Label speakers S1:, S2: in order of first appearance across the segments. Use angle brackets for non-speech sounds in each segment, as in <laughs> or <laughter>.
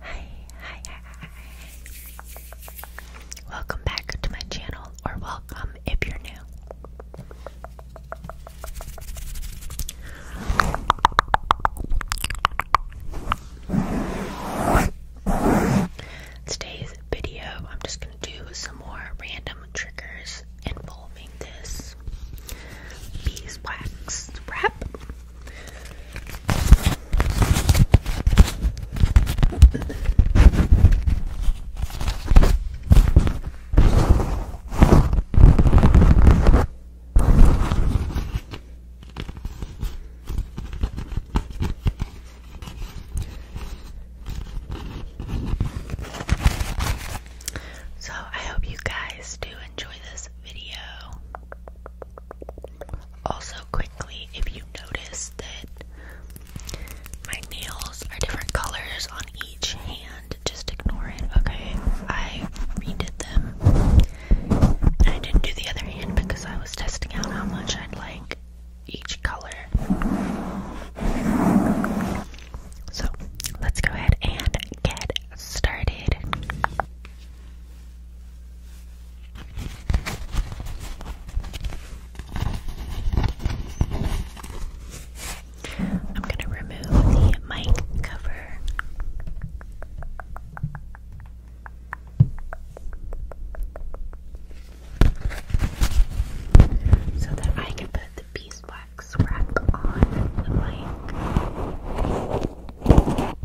S1: Hi, hi, Welcome back to my channel, or welcome if you're new. Today's video, I'm just going to do some more random triggers involving this beeswax wrap. So, I hope you guys do enjoy this video. Also, quickly if you notice that my nails are different colors on each hand, just ignore it, okay? I redid them. And I didn't do the other hand because I was testing out how much I'd like each color. So let's go ahead and get started.
S2: I'm going to remove the mic cover. So that I can put the beeswax wrap on the mic.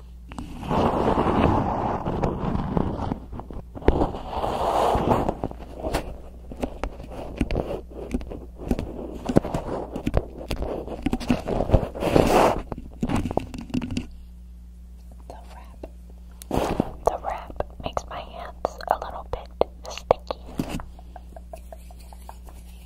S2: The wrap. The wrap makes my hands a little bit sticky.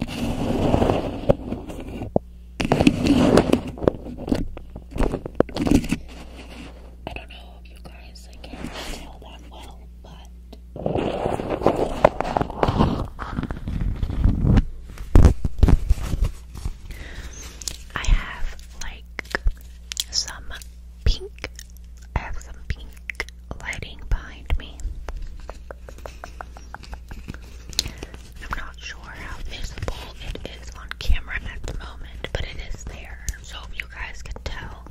S1: I don't know if you guys can tell that well, but I have like some pink. I have some pink lighting behind me. I'm not sure how visible it is on camera at the moment, but it is there. So if you guys can tell,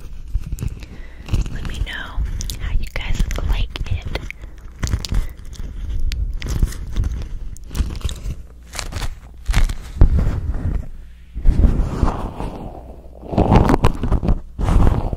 S1: let me know how you guys like it.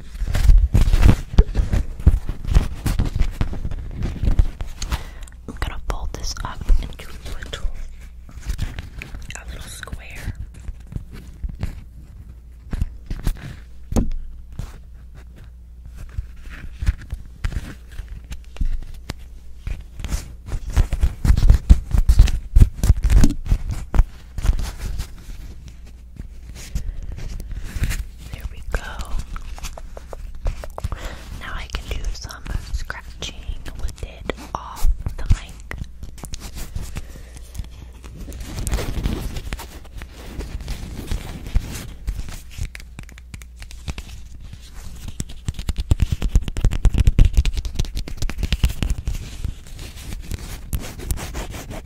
S1: I'm gonna fold this up into a little, a little square. There we go. Now I can do some scratching with it off the mic.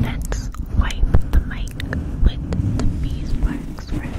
S1: Let's wipe the mic with the beeswax rag.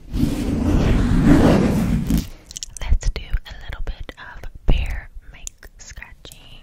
S1: Let's do a little bit of bear make scratching.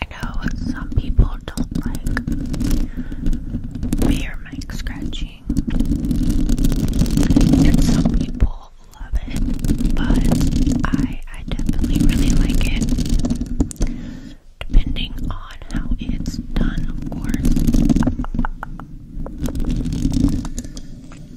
S1: I know some people don't like me or scratching, and some people love it, but I I definitely really like it, depending on how it's done, of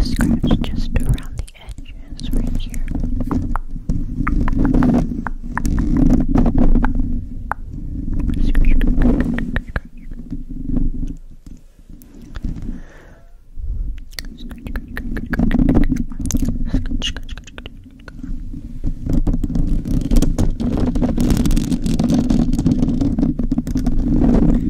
S1: Scratch just around the edges right here. Scratch, scratch, scratch, scratch,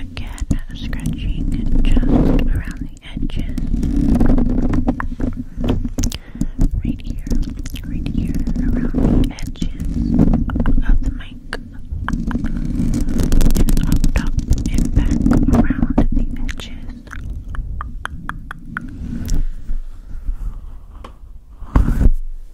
S1: Again, scratching just around the edges. Right here, right here, around the edges of the mic. And up top and back around the edges.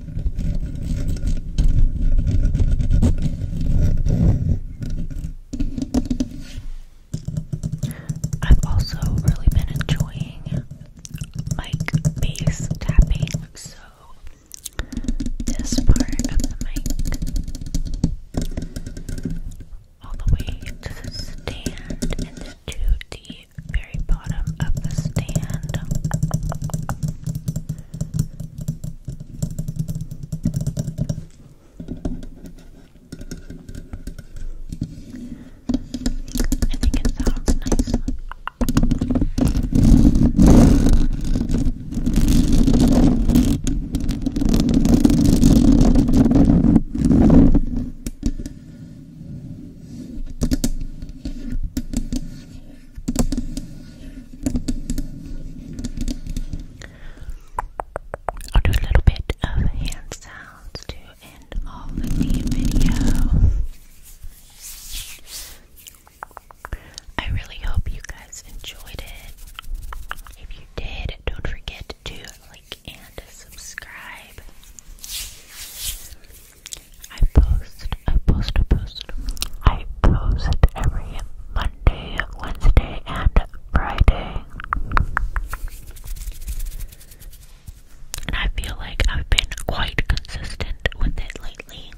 S1: I've also really been enjoying mic bass tapping, so this part of the mic all the way to the stand and then the the very bottom of the stand. I think it nice. I'll do a little bit of hand sounds to end all the video. I really hope you guys enjoyed it. If you did, don't forget to like and subscribe. I post, I post, I post. I post every Monday, Wednesday, and Friday. And I feel like I've been quite consistent with it lately.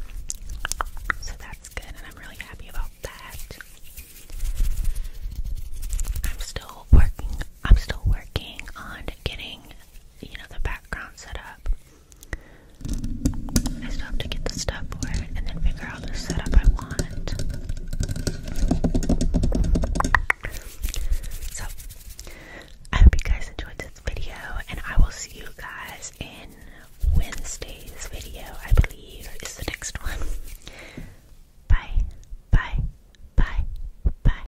S1: So that's good, and I'm really happy about that. I'm still working, I'm still working on getting you know, the background set up. I still have to get the stuff for it and then figure out the setup I want. So, I hope you guys enjoyed this video, and I will see you guys in Wednesday's video, I believe, is
S2: the next one. <laughs> Bye, bye, bye, bye.